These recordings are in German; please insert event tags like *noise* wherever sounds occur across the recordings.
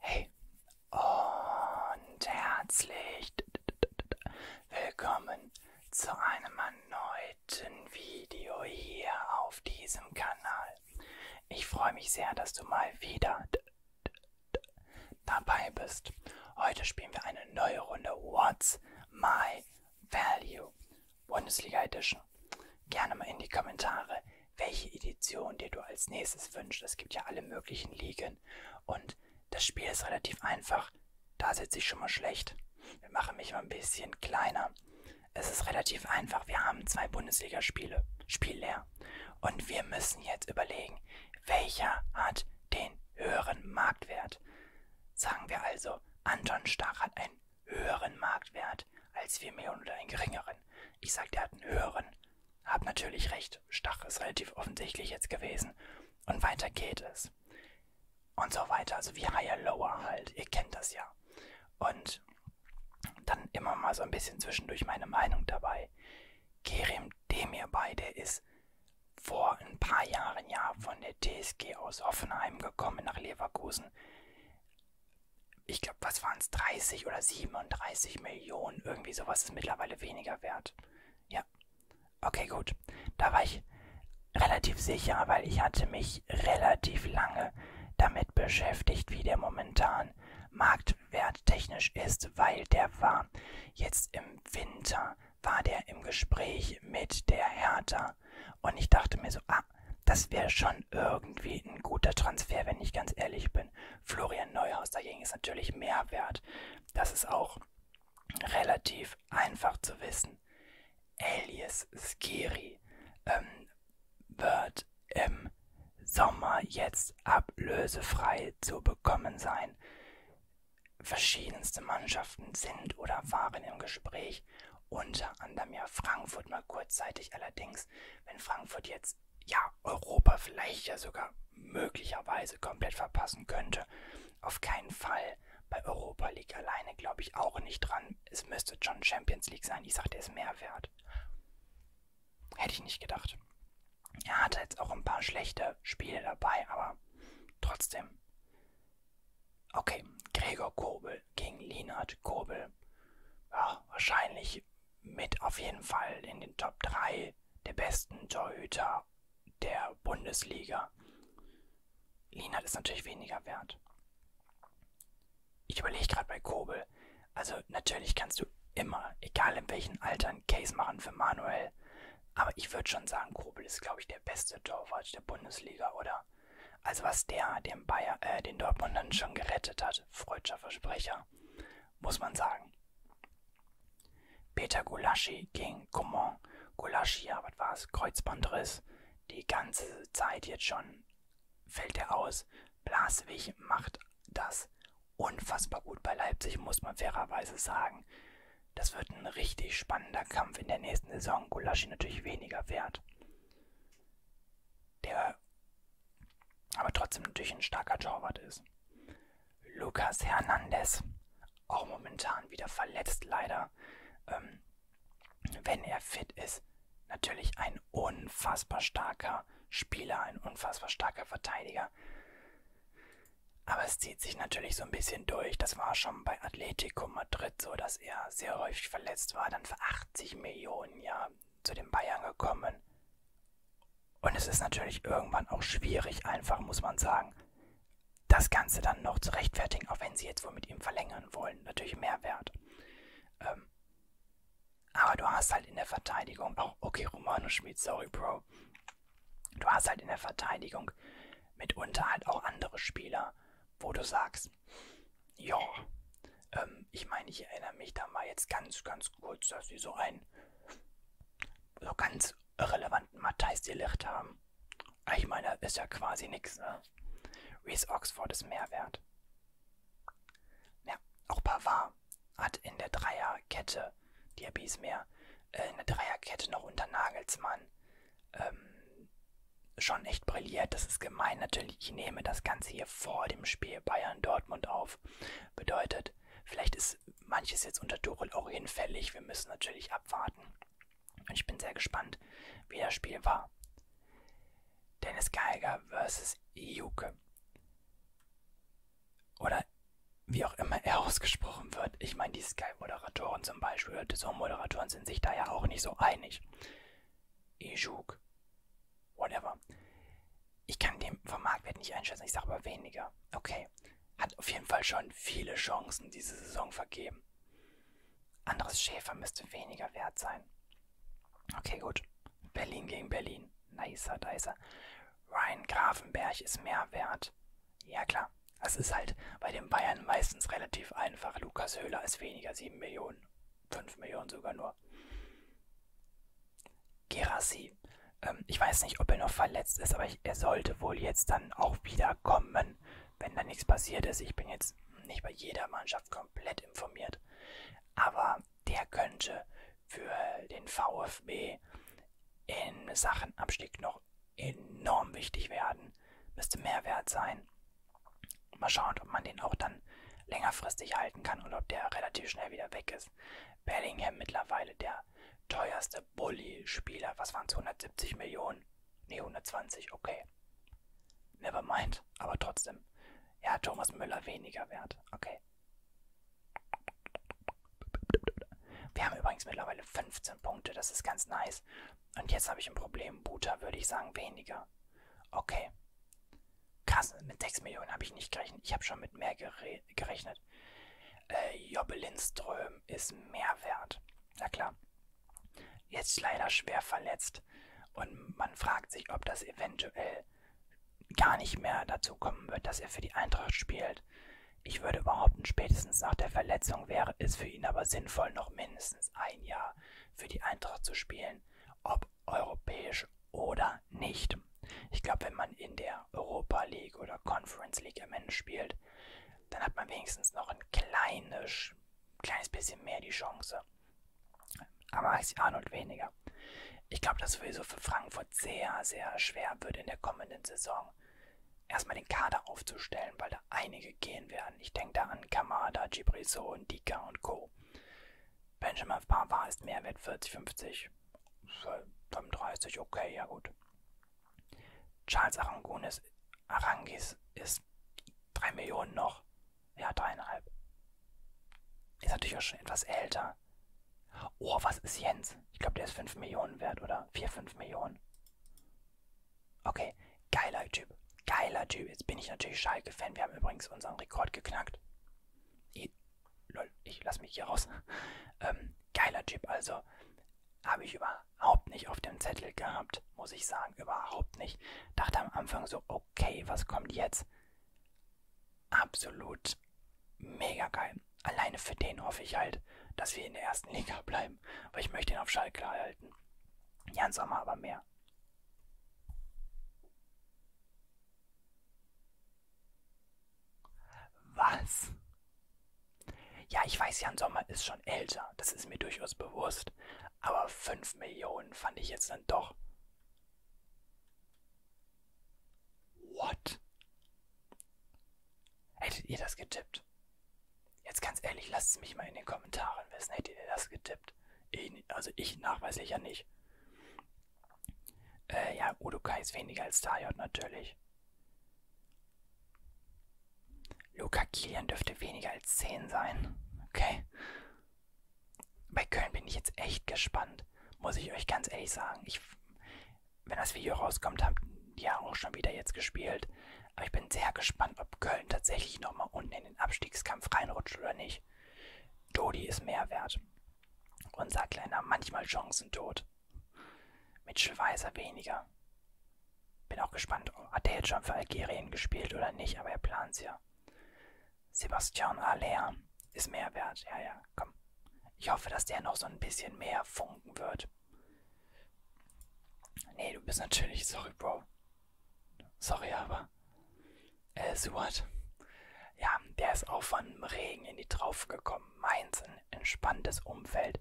Hey und herzlich willkommen zu einem erneuten Video hier auf diesem Kanal. Ich freue mich sehr, dass du mal wieder dabei bist. Heute spielen wir eine neue Runde What's My Value. Bundesliga Edition. Gerne mal in die Kommentare, welche Edition dir du als nächstes wünschst. Es gibt ja alle möglichen Ligen und das Spiel ist relativ einfach. Da sitze ich schon mal schlecht. Wir machen mich mal ein bisschen kleiner. Es ist relativ einfach. Wir haben zwei Bundesligaspiele, Spiel leer. Und wir müssen jetzt überlegen, welcher hat den höheren Marktwert. Sagen wir also, Anton Stach hat einen höheren Marktwert als 4 Millionen oder einen geringeren. Ich sage, der hat einen höheren. Hab natürlich recht. Stach ist relativ offensichtlich jetzt gewesen. Und weiter geht es. Und so weiter. Also wie higher, lower halt. Ihr kennt das ja. Und dann immer mal so ein bisschen zwischendurch meine Meinung dabei. Kerem Demir bei, der ist vor ein paar Jahren ja von der TSG aus Hoffenheim gekommen nach Leverkusen ich glaube, was waren es, 30 oder 37 Millionen, irgendwie sowas ist mittlerweile weniger wert. Ja, okay, gut. Da war ich relativ sicher, weil ich hatte mich relativ lange damit beschäftigt, wie der momentan marktwerttechnisch ist, weil der war jetzt im Winter, war der im Gespräch mit der Hertha und ich dachte mir so, ah, das wäre schon irgendwie ein guter Transfer, wenn ich ganz ehrlich bin. Florian Neuhaus dagegen ist natürlich mehr wert. Das ist auch relativ einfach zu wissen. Elias Skiri ähm, wird im Sommer jetzt ablösefrei zu bekommen sein. Verschiedenste Mannschaften sind oder waren im Gespräch, unter anderem ja Frankfurt mal kurzzeitig, allerdings Allerdings, wenn Frankfurt jetzt ja Europa vielleicht ja sogar möglicherweise komplett verpassen könnte, auf keinen Fall bei Europa League alleine glaube ich auch nicht dran. Es müsste schon Champions League sein. Ich sagte, der ist mehr wert. Hätte ich nicht gedacht. Er hatte jetzt auch ein paar schlechte Spiele dabei, aber trotzdem. Okay, Gregor Kobel 0 gegen Linhard Kobel. Ja, wahrscheinlich mit auf jeden Fall in den Top 3 der besten Torhüter der Bundesliga. Linhard ist natürlich weniger wert. Ich überlege gerade bei Kobel. Also natürlich kannst du immer, egal in welchen Altern, Case machen für Manuel. Aber ich würde schon sagen, Kobel ist, glaube ich, der beste Torwart der Bundesliga, oder? Also was der den, Bayer, äh, den Dortmundern schon gerettet hat, freudscher Versprecher, muss man sagen. Peter Gulaschi gegen Coman. Gulaschi, ja, was war's? Kreuzbandriss. Die ganze Zeit jetzt schon fällt er aus. Blaswig macht das unfassbar gut bei Leipzig, muss man fairerweise sagen. Das wird ein richtig spannender Kampf in der nächsten Saison. Gulaschi natürlich weniger wert der aber trotzdem natürlich ein starker Torwart ist. Lucas Hernandez, auch momentan wieder verletzt leider. Ähm, wenn er fit ist, natürlich ein unfassbar starker Spieler, ein unfassbar starker Verteidiger. Aber es zieht sich natürlich so ein bisschen durch. Das war schon bei Atletico Madrid so, dass er sehr häufig verletzt war. Dann für 80 Millionen, ja, zu den Bayern gekommen. Und es ist natürlich irgendwann auch schwierig, einfach muss man sagen, das Ganze dann noch zu rechtfertigen, auch wenn sie jetzt wohl mit ihm verlängern wollen. Natürlich Mehrwert. Ähm, aber du hast halt in der Verteidigung, auch oh, okay, Romano Schmid, sorry, Bro. Du hast halt in der Verteidigung mitunter halt auch andere Spieler, wo du sagst, Platz. Ja, ähm, ich meine, ich erinnere mich da mal jetzt ganz, ganz kurz, dass sie so einen so ganz irrelevanten Matthijs-Delicht haben. Ah, ich meine, ist ja quasi nichts, ne? Reese Oxford ist Mehrwert. Ja, auch Pavard hat in der Dreierkette, die er mehr, äh, in der Dreierkette noch unter Nagelsmann ähm, schon echt brilliert. Das ist gemein natürlich. Ich nehme das Ganze hier vor dem Spiel Bayern-Dortmund auf. Bedeutet, vielleicht ist manches jetzt unter Tuchel auch hinfällig. Wir müssen natürlich abwarten. Und ich bin sehr gespannt, wie das Spiel war. Dennis Geiger versus Juke. Oder wie auch immer er *laughs* ausgesprochen wird. Ich meine, die Sky-Moderatoren zum Beispiel oder Moderatoren sind sich da ja auch nicht so einig. Ijuk Whatever. Ich kann den vom Marktwert nicht einschätzen, ich sage aber weniger. Okay. Hat auf jeden Fall schon viele Chancen diese Saison vergeben. Anderes Schäfer müsste weniger wert sein. Okay, gut. Berlin gegen Berlin. Nicer, nicer. Ryan Grafenberg ist mehr wert. Ja, klar. Es ist halt bei den Bayern meistens relativ einfach. Lukas Höhler ist weniger, 7 Millionen. 5 Millionen sogar nur. Gerassi. Ähm, ich weiß nicht, ob er noch verletzt ist, aber ich, er sollte wohl jetzt dann auch wieder kommen, wenn da nichts passiert ist. Ich bin jetzt nicht bei jeder Mannschaft komplett informiert. Aber der könnte für den VfB in Sachen Abstieg noch enorm wichtig werden. Müsste Mehrwert sein. Mal schauen, ob man den auch dann längerfristig halten kann und ob der relativ schnell wieder weg ist. Bellingham mittlerweile der teuerste Bully-Spieler. Was waren es? 170 Millionen? Ne, 120, okay. Never mind, aber trotzdem. Ja, Thomas Müller weniger wert, okay. Wir haben übrigens mittlerweile 15 Punkte, das ist ganz nice. Und jetzt habe ich ein Problem. Buta würde ich sagen weniger. Okay, Krass, mit 6 Millionen habe ich nicht gerechnet. Ich habe schon mit mehr gere gerechnet. Äh, Jobbe Lindström ist mehr wert. Na klar. Jetzt leider schwer verletzt. Und man fragt sich, ob das eventuell gar nicht mehr dazu kommen wird, dass er für die Eintracht spielt. Ich würde behaupten, spätestens nach der Verletzung wäre es für ihn aber sinnvoll, noch mindestens ein Jahr für die Eintracht zu spielen. Ob europäisch oder nicht. Ich glaube, wenn man in der Europa League oder Conference League am Ende spielt, dann hat man wenigstens noch ein kleines, kleines bisschen mehr die Chance. Aber Maxi Arnold weniger. Ich glaube, dass sowieso für Frankfurt sehr, sehr schwer wird in der kommenden Saison erstmal den Kader aufzustellen, weil da einige gehen werden. Ich denke da an Kamada, Gibriso und Dika und Co. Benjamin Pavard ist Mehrwert 40, 50, 35, okay, ja gut. Charles Arangunis, Arangis ist 3 Millionen noch. Ja, dreieinhalb. Ist natürlich auch schon etwas älter. Oh, was ist Jens? Ich glaube, der ist 5 Millionen wert, oder? 4, 5 Millionen. Okay, geiler Typ. Geiler Typ. Jetzt bin ich natürlich Schalke-Fan. Wir haben übrigens unseren Rekord geknackt. Ich, lol, ich lass mich hier raus. *laughs* Ähm, geiler Typ. Also habe ich überhaupt nicht auf dem Zettel gehabt, muss ich sagen. Überhaupt nicht. Dachte am Anfang so, okay, was kommt jetzt? Absolut mega geil. Alleine für den hoffe ich halt, dass wir in der ersten Liga *laughs* bleiben, weil ich möchte ihn auf Schalke halten. Jan Sommer aber mehr. Was? Ja, ich weiß, Jan Sommer ist schon älter, das ist mir durchaus bewusst, aber 5 Millionen fand ich jetzt dann doch. What? Hättet ihr das getippt? Jetzt ganz ehrlich, lasst es mich mal in den Kommentaren wissen. Hättet ihr das getippt? Ich, also ich nachweislich ja nicht. Äh, ja, Udokai ist weniger als Tajot natürlich. Luca Kilian dürfte weniger als 10 sein. Okay. Bei Köln bin ich jetzt echt gespannt. Muss ich euch ganz ehrlich sagen. Ich, wenn das Video rauskommt, haben die ja auch schon wieder jetzt gespielt. Aber ich bin sehr gespannt, ob Köln tatsächlich nochmal unten in den Abstiegskampf reinrutscht oder nicht. Jody ist mehr wert. Unser Kleiner manchmal chancentot. Mitchell Weiser weniger. Bin auch gespannt, hat er jetzt schon für Algerien gespielt oder nicht, aber er plant's ja. Sebastian Aller ist mehr wert. Ja, ja, komm. Ich hoffe, dass der noch so ein bisschen mehr funken wird. Nee, du bist natürlich, sorry, Bro. Sorry, aber. Äh, Suat. Ja, der ist auch von Regen in die Traufe gekommen. Mainz, ein entspanntes Umfeld.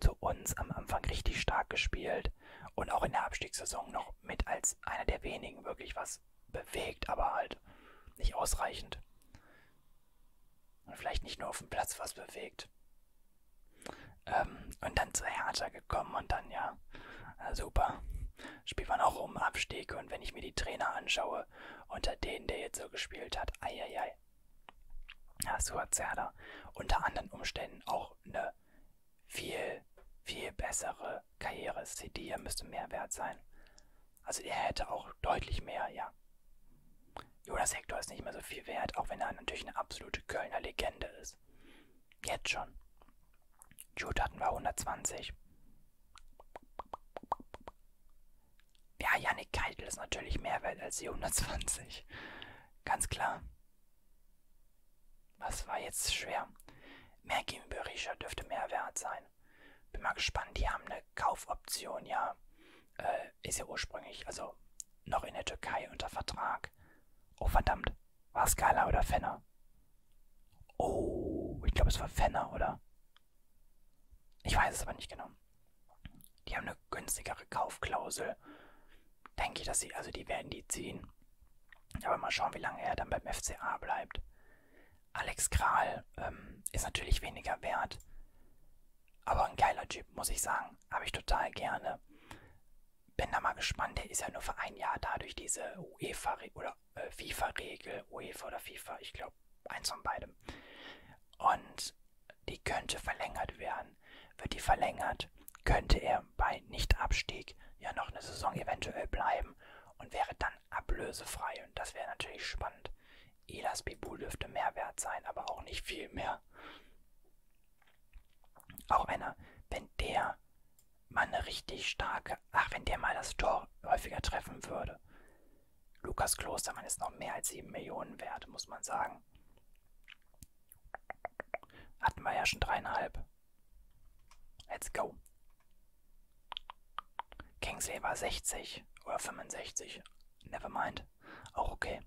Zu uns am Anfang richtig stark gespielt. Und auch in der Abstiegssaison noch mit als einer der wenigen wirklich was bewegt, aber halt nicht ausreichend. Und vielleicht nicht nur auf dem Platz was bewegt. Ähm, und dann zu Hertha gekommen und dann ja, super spielt man auch um Abstieg und wenn ich mir die Trainer anschaue, unter denen der jetzt so gespielt hat, eieiei. Ja, Suat Zerda unter anderen Umständen auch eine viel, viel bessere Karriere. Sedia müsste mehr wert sein. Also er hätte auch deutlich mehr, ja. Jonas Hector ist nicht mehr so viel wert, auch wenn er natürlich eine absolute Kölner Legende ist. Jetzt schon. Jude hatten wir 120. Ja, Yannick Keitel ist natürlich mehr wert als die 120. Ganz klar. Was war jetzt schwer? Merkim Berisha dürfte mehr wert sein. Bin mal gespannt, die haben eine Kaufoption, ja. Äh, ist ja ursprünglich, also noch in der Türkei unter Vertrag. Oh verdammt, war Skala oder Fenner? Oh, ich glaube, es war Fenner, oder? Ich weiß es aber nicht genau. Die haben eine günstigere Kaufklausel. Denke ich, dass sie, also die werden die ziehen. Aber mal schauen, wie lange er dann beim FCA bleibt. Alex Kral ähm, ist natürlich weniger wert. Aber ein geiler Typ, muss ich sagen. Habe ich total gerne. Bin da mal gespannt. Der ist ja nur für ein Jahr da durch diese UEFA oder äh, FIFA-Regel, UEFA oder FIFA, ich glaube eins von beidem. Und die könnte verlängert werden. Wird die verlängert, könnte er bei Nichtabstieg ja noch eine Saison eventuell bleiben und wäre dann ablösefrei. Und das wäre natürlich spannend. Elas Bibu dürfte mehr wert sein, aber auch nicht viel mehr. Auch einer, wenn der Mann, eine richtig starke. Ach, wenn der mal das Tor häufiger treffen würde. Lukas Klostermann ist noch mehr als 7 Millionen wert, muss man sagen. Hatten wir ja schon dreieinhalb. Let's go. Kingsley war 60 oder 65. Never mind. Auch okay.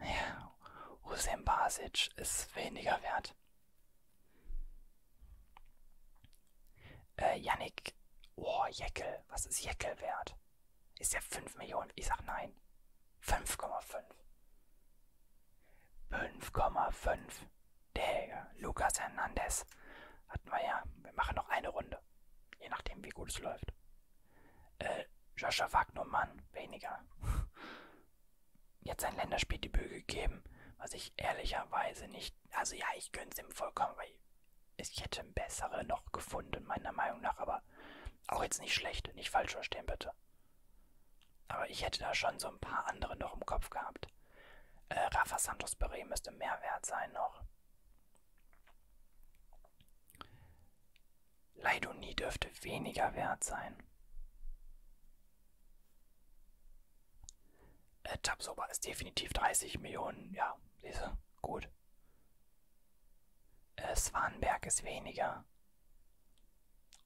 Ja, Hussein Basic ist weniger wert. Äh, Yannick. Oh, Jeckel. Was ist Jeckel wert? Ist der 5 Millionen? Ich sag nein. 5,5. 5,5. Der Lucas Hernandez. Hatten wir ja. Wir machen noch eine Runde. Je nachdem, wie gut es läuft. Äh, Joscha Wagnermann. Weniger jetzt ein Länderspieldebüt gegeben, was ich ehrlicherweise nicht. Also ja, ich gönn's ihm vollkommen, weil ich, ich hätte einen besseren noch gefunden, meiner Meinung nach, aber auch jetzt nicht schlecht, nicht falsch verstehen bitte. Aber ich hätte da schon so ein paar andere noch im Kopf gehabt. Äh, Rafa Santos Beret müsste mehr wert sein noch. Leidoni dürfte weniger wert sein. Äh, Tabsoba ist definitiv 30 Millionen. Ja, diese. Gut. Äh, Swanberg ist weniger.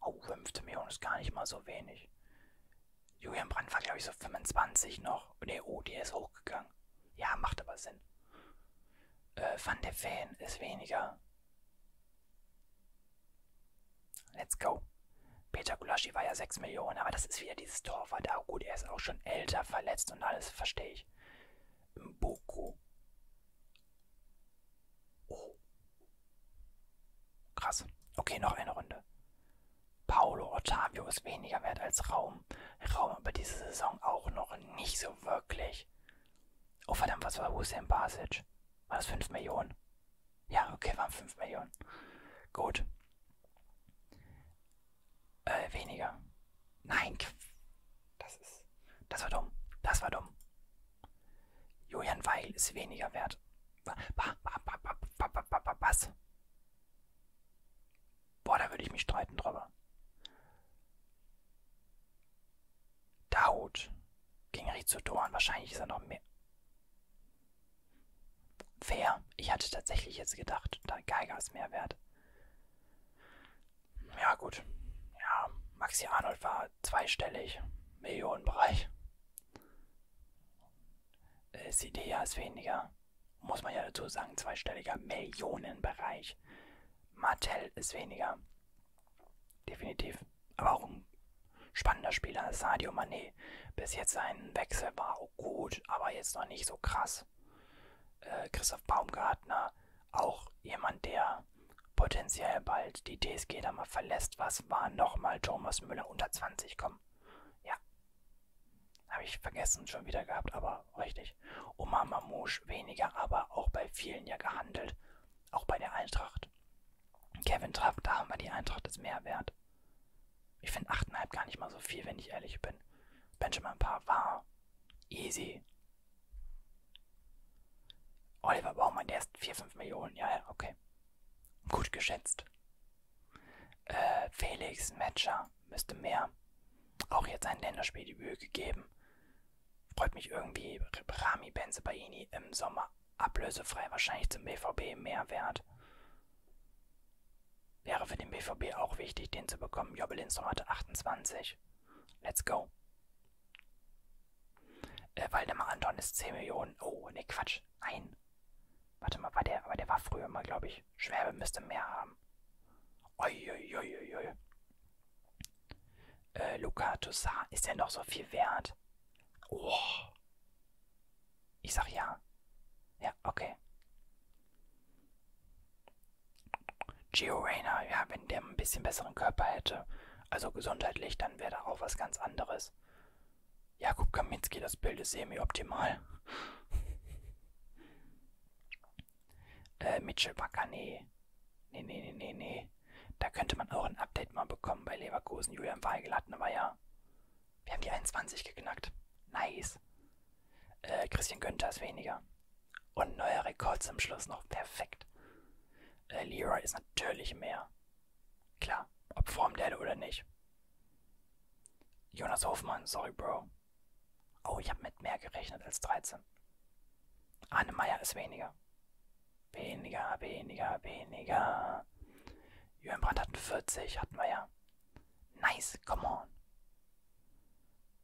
Oh, 15 Millionen ist gar nicht mal so wenig. Julian Brandt war, glaube ich, so 25 noch. Ne, oh, der ist hochgegangen. Ja, macht aber Sinn. Äh, Van de Ven ist weniger. Let's go. Peter Gulaschi war ja 6 Millionen, aber das ist wieder dieses Torwart. Auch gut, er ist auch schon älter, verletzt und alles, verstehe ich. Mboku. Oh. Krass. Okay, noch eine Runde. Paulo Ottavio ist weniger wert als Raum. Raum aber diese Saison auch noch nicht so wirklich. Oh verdammt, was war Hussein Basic? War das 5 Millionen? Ja, okay, waren 5 Millionen. Gut. Äh, weniger. Nein, das ist. Das war dumm. Das war dumm. Julian Weil ist weniger wert. Was? Boah, da würde ich mich streiten drüber. Daud ging Rizzo Doan. Wahrscheinlich ist er noch mehr. Fair. Ich hatte tatsächlich jetzt gedacht, da Geiger ist mehr wert. Ja, gut. Ja, Maxi Arnold war zweistellig. Millionenbereich. Äh, Sidea ist weniger. Muss man ja dazu sagen, zweistelliger Millionenbereich. Martell ist weniger. Definitiv. Aber auch ein Spannender Spieler, Sadio Mané. Bis jetzt sein Wechsel war gut, aber jetzt noch nicht so krass. Äh, Christoph Baumgartner, auch jemand, der potenziell bald die DSG da mal verlässt. Was war nochmal Thomas Müller unter 20 kommen? Ja. Habe ich vergessen schon wieder gehabt, aber richtig. Omar Mamouche weniger, aber auch bei vielen ja gehandelt. Auch bei der Eintracht. Kevin Trapp, da haben wir die Eintracht ist mehr wert. Ich finde 8,5 gar nicht mal so viel, wenn ich ehrlich bin. Benjamin Paar war easy. Oliver Baumann, der ist 4, 5 Millionen. Ja, ja, okay. Gut geschätzt. Äh, Felix Metscher müsste mehr. Auch jetzt ein Länderspieldebüt gegeben. Freut mich irgendwie. Rami Benze Baini im Sommer ablösefrei wahrscheinlich zum BVB mehr wert. Wäre für den BVB auch wichtig, den zu bekommen. Jobbelinstrom hatte 28. Let's go. Äh, Waldemar Anton ist 10 Millionen. Oh, ne Quatsch. Nein. Warte mal, war der, aber der war früher mal, glaube ich. Schwerbe müsste mehr haben. Uiuiuiui. Ui. Äh, Luca Toussaint, ist der noch so viel wert? Oh, ich sag ja. Ja, okay. Gio Reyna, ja, wenn der ein bisschen besseren Körper hätte, also gesundheitlich, dann wäre da auch was ganz anderes. Jakub Kaminski, das Bild ist semi-optimal. *laughs* äh, Mitchell Wacker, nee. Nee, nee, nee, nee, nee. Da könnte man auch ein Update mal bekommen bei Leverkusen. Julian Weigel hatten aber ja wir haben die 21 geknackt. Nice. Äh, Christian Günther ist weniger. Und neuer Rekord zum Schluss noch. Perfekt. Äh, Leroy ist natürlich mehr. Klar, ob Formdelle oder nicht. Jonas Hofmann, sorry, Bro. Oh, ich habe mit mehr gerechnet als 13. Anne Meyer ist weniger. Weniger, weniger, weniger. Jürgen Brandt hatten 40, hatten wir ja. Nice, come on.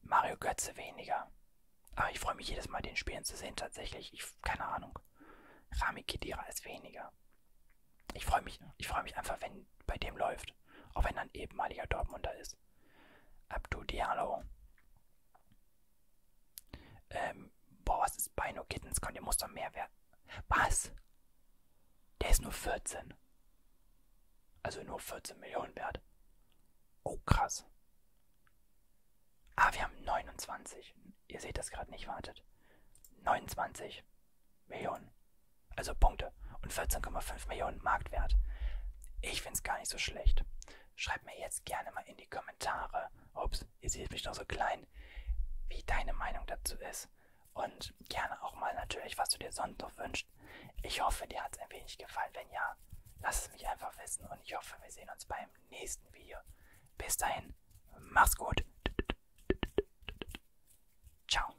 Mario Götze weniger. Aber ich freue mich jedes Mal, den Spielen zu sehen, tatsächlich. Ich, keine Ahnung. Rami Kedira ist weniger. Ich freue mich, ich freue mich einfach, wenn bei dem läuft. Auch wenn er ein ehemaliger Dortmunder ist. Abdu Diallo. Ähm, boah, was ist Bino Kittens? Komm, der muss doch mehr werden. Was? Der ist nur 14. Also nur 14 Millionen wert. Oh, krass. Ah, wir haben 29. Ihr seht das gerade nicht, wartet. 29 Millionen. Also Punkte. Und 14,5 Millionen Marktwert. Ich find's gar nicht so schlecht. Schreibt mir jetzt gerne mal in die Kommentare. Ups, ihr seht mich noch so klein. Wie deine Meinung dazu ist und gerne auch mal natürlich, was du dir sonst noch wünschst. Ich hoffe, dir hat es ein wenig gefallen. Wenn ja, lass es mich einfach wissen und ich hoffe, wir sehen uns beim nächsten Video. Bis dahin, mach's gut. Ciao.